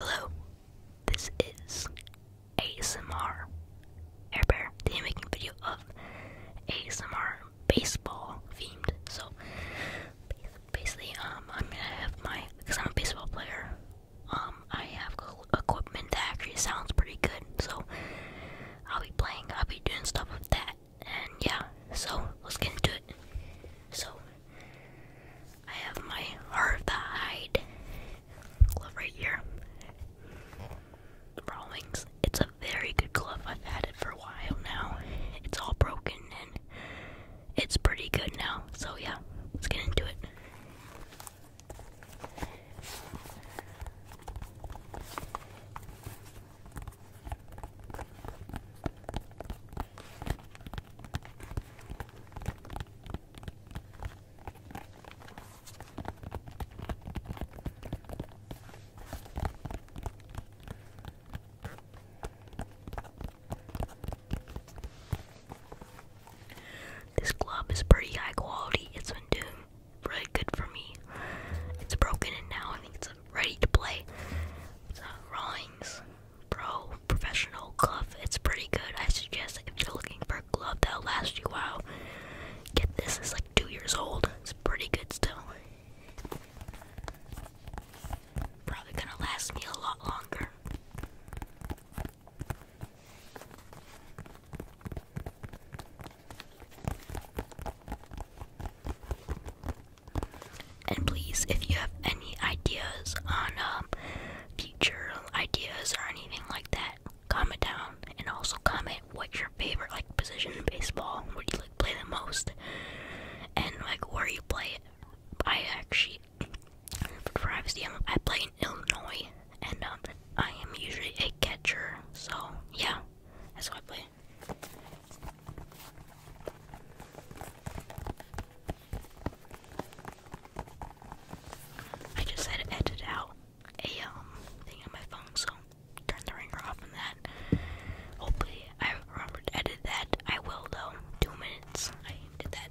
Hello, this is ASMR Airbear. Today making a video of ASMR baseball themed. So basically, um, I'm gonna have my because I'm a baseball player. Um, I have equipment that actually sounds pretty good. So I'll be playing. I'll be doing stuff with that. And yeah, so let's get into it. So I have my Artha hide glove right here. Rawlings. It's a very good glove. I've had it for a while now. It's all broken and it's pretty good now. So yeah, let's get into it. This glove is pretty high quality. It's been doing really good for me. It's broken and now I think it's ready to play. It's uh, Pro Professional Glove. It's pretty good. I suggest if you're looking for a glove that'll last you a while, get this. It's like two years old. It's pretty good still. Probably gonna last me a lot longer. And please, if you have any ideas on um, future ideas or anything like that, comment down and also comment what your favorite like position in baseball, where you like play the most, and like where you play it. I actually, for privacy, I play in Illinois, and um, I am usually a catcher. So yeah, that's what I play. I just had to edit out a um thing on my phone, so turn the ringer off on that. Hopefully, I remember to edit that. I will though. Two minutes. I did that.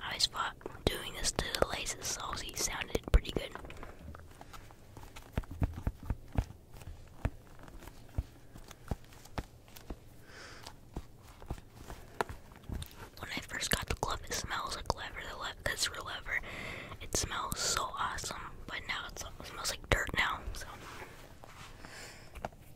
I thought doing this to the laces saucy sounded pretty good. When I first got the glove, it smells like leather. The real leather. It smells so awesome, but now it smells like dirt now.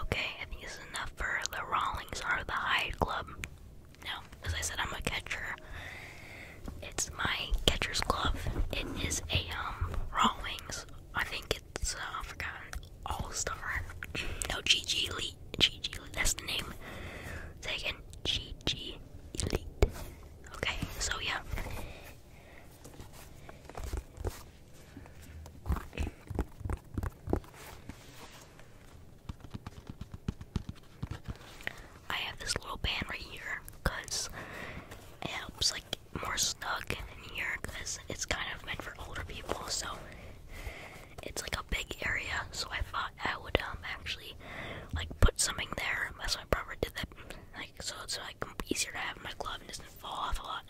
Okay, I think this is enough for the Rawlings or the Hyde Club. Now, as I said, I'm a catcher. It's my catcher's glove. It is a um raw wings. I think it's uh, I forgot all star. No GG Elite. GG Elite. That's the name. Say again. GG Elite. Okay. So yeah. I have this little band right here because it helps like more snug in here because it's kind of meant for older people. So it's like a big area. So I thought I would um actually like put something there. That's why I probably did that. Like so, it's like easier to have my glove and doesn't fall off a lot.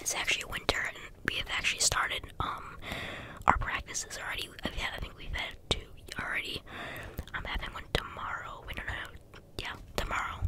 It's actually winter, and we have actually started um, our practices already. i I think we've had two already. I'm having one tomorrow. We don't know. Yeah, tomorrow.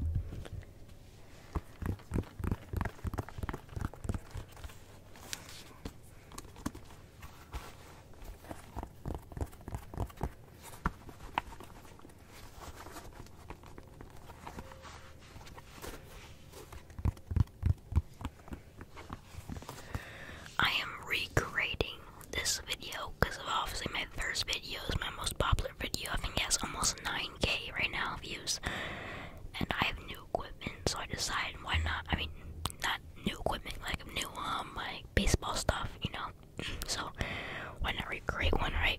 I am recreating this video because obviously my first video is my most popular video. I think it has almost 9k right now views. And I have new equipment, so I decided why not. I mean, not new equipment, like new um, like baseball stuff, you know. so why not recreate one, right?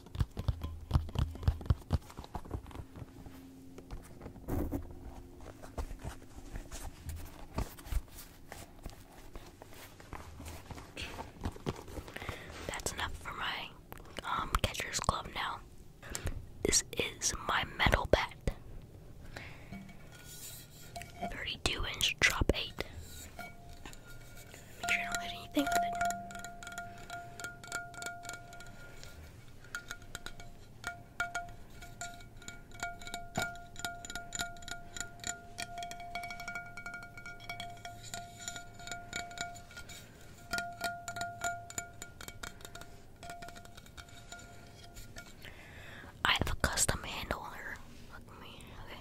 That's enough for my um catcher's glove now. This is my metal bat. 32 inch drop 8. Make sure I don't hit anything with it. I have a custom handle on her. Look at me. Okay.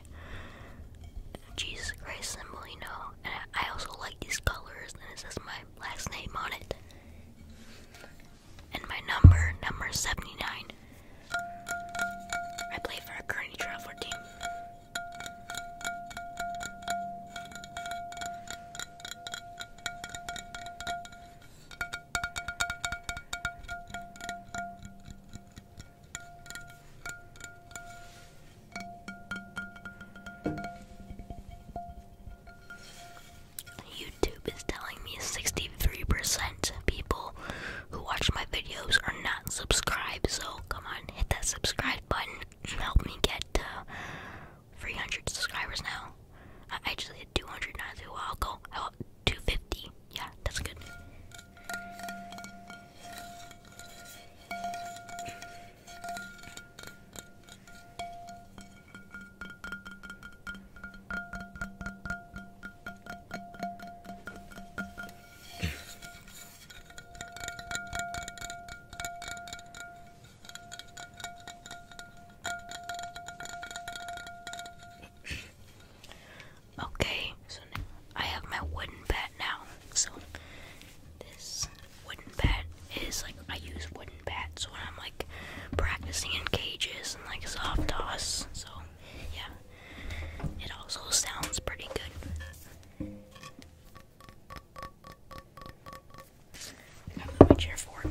Jesus Christ, Sembolino. And I also like these colors and it says my last name on it. And my number, number 79. I play for a current travel team. YouTube is telling me 63% of people who watch my videos are not subscribed, so come on, hit that subscribe button help me get uh, 300 subscribers now. I, I just hit 200 I'll go 250. Yeah, that's good okay, so I have my wooden bat now, so this wooden bat is like I use wooden bats when I'm like practicing in cages and like soft toss. So yeah, it also sounds pretty good. I move my chair forward.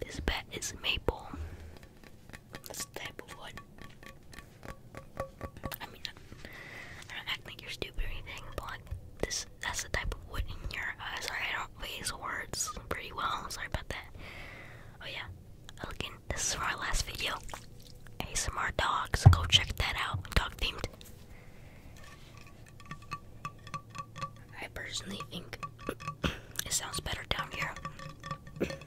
This bat is maple. That's the wood. I mean, I don't act like you're stupid or anything, but this, that's the type of wood in your eyes. Uh, sorry, I don't face words pretty well. Sorry about that. Oh yeah, I this is for our last video. Hey, ASMR dogs, go check that out. Dog themed. I personally think it sounds better down here.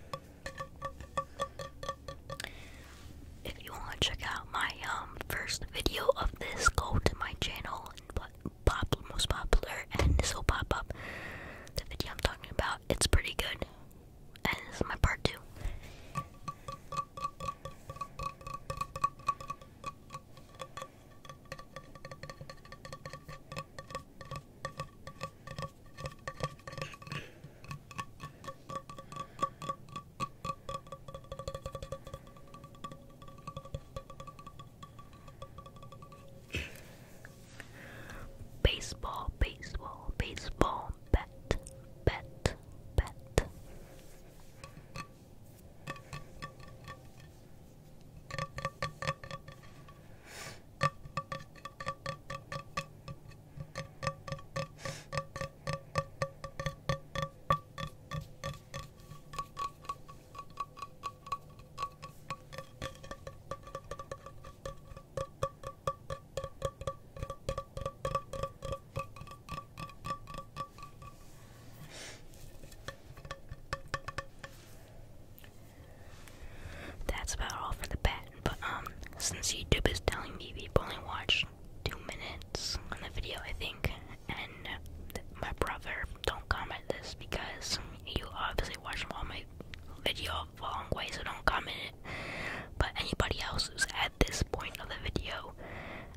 If you want to check out my um first video of this, go to my channel and pop most popular, and this will pop up the video I'm talking about. It's pretty good. And this is my part two. Baseball, baseball, baseball, bat, bat, bat. That's about all for the pet, but um, since YouTube is telling me people only watch two minutes on the video, I think, and my brother don't comment this because you obviously watched all my video a long way, so don't comment it. But anybody else who's at this point of the video,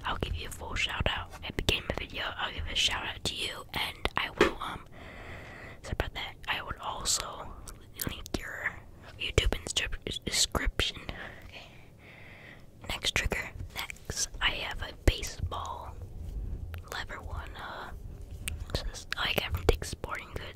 I'll give you a full shout out. At the beginning of the video, I'll give a shout out to you, and I will um. So about that, I would also link your YouTube in description. Okay. Next trigger. Next, I have a baseball lever one. Uh, this is, I got from Dick's Sporting Goods.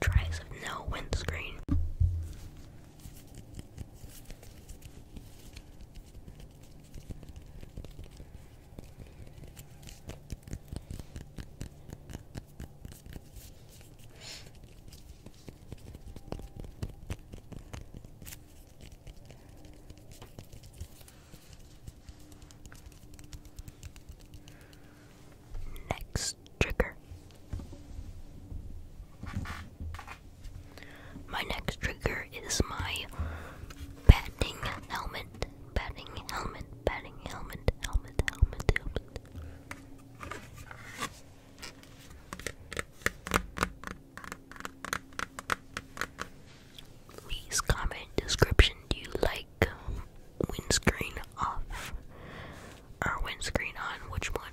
Tries of no windscreen. Next trigger. My next trigger is my batting helmet, batting helmet, batting helmet, helmet, helmet, helmet. Please comment description. Do you like windscreen off or windscreen on? Which one?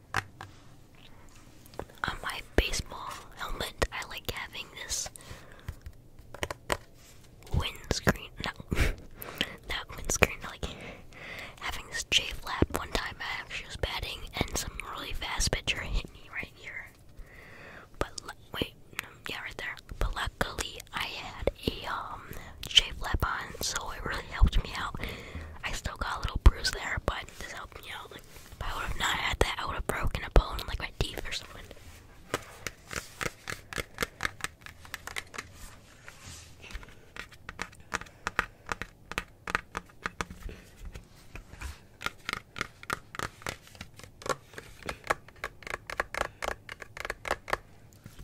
On my baseball helmet, I like having this windscreen. No, that windscreen. I like having this J flap. One time I actually was batting, and some really fast pitcher hit me right here. But wait, yeah, right there. But luckily, I had a um J flap on, so it really helped me out. I still got a little bruise there, but this helped me out if I would have not had that, I would have broken a bone, like my teeth or something.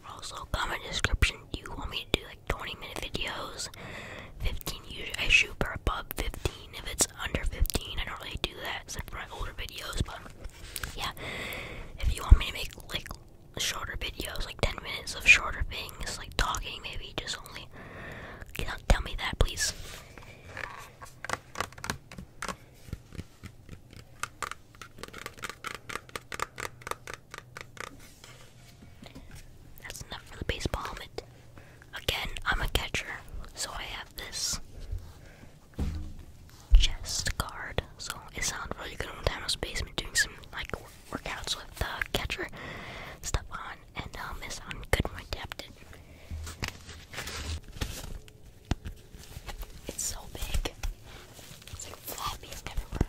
Also, comment description. Do you want me to do like 20 minute videos? 15 usually I shoot for above 15 if it's under 15, I don't really do that except for my older videos, but yeah. If you want me to make like shorter videos, like 10 minutes of shorter things, like talking, maybe just only tell me that, please. That's enough for the baseball helmet. Again, I'm a catcher, so I have this chest guard. So it sounds really good when I was basement doing some like workouts with the catcher stuff on, and um, it sounded good when I tapped It's so big. It's like floppy everywhere.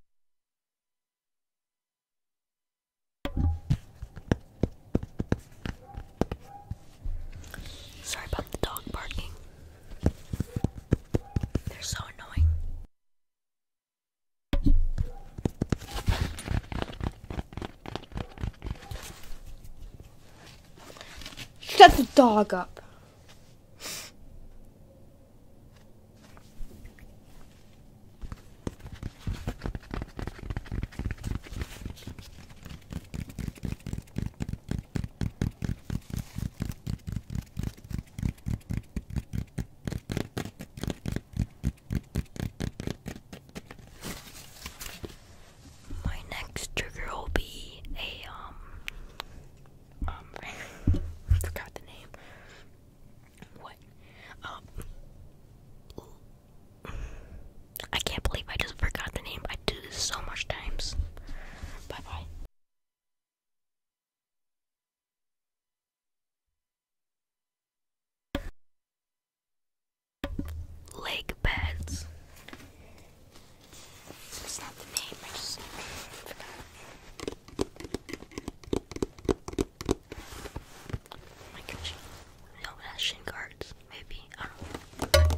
Sorry about the dog barking. They're so annoying. Shut the dog up. My next trigger will be a um um, forgot the name. What? Um, I can't believe I just forgot the name. I do this so much times. Bye bye. Leg beds. It's not the name, I just forgot. Oh my gosh. No shin cards. maybe. I don't know.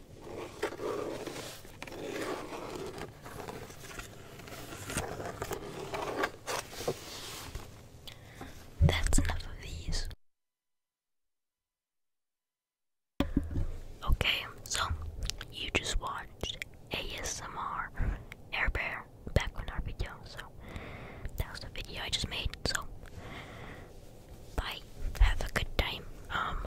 That's enough of these. Okay, so you just watched ASMR Air Bear back on our video, so that was the video I just made. So, bye. Have a good time. Um,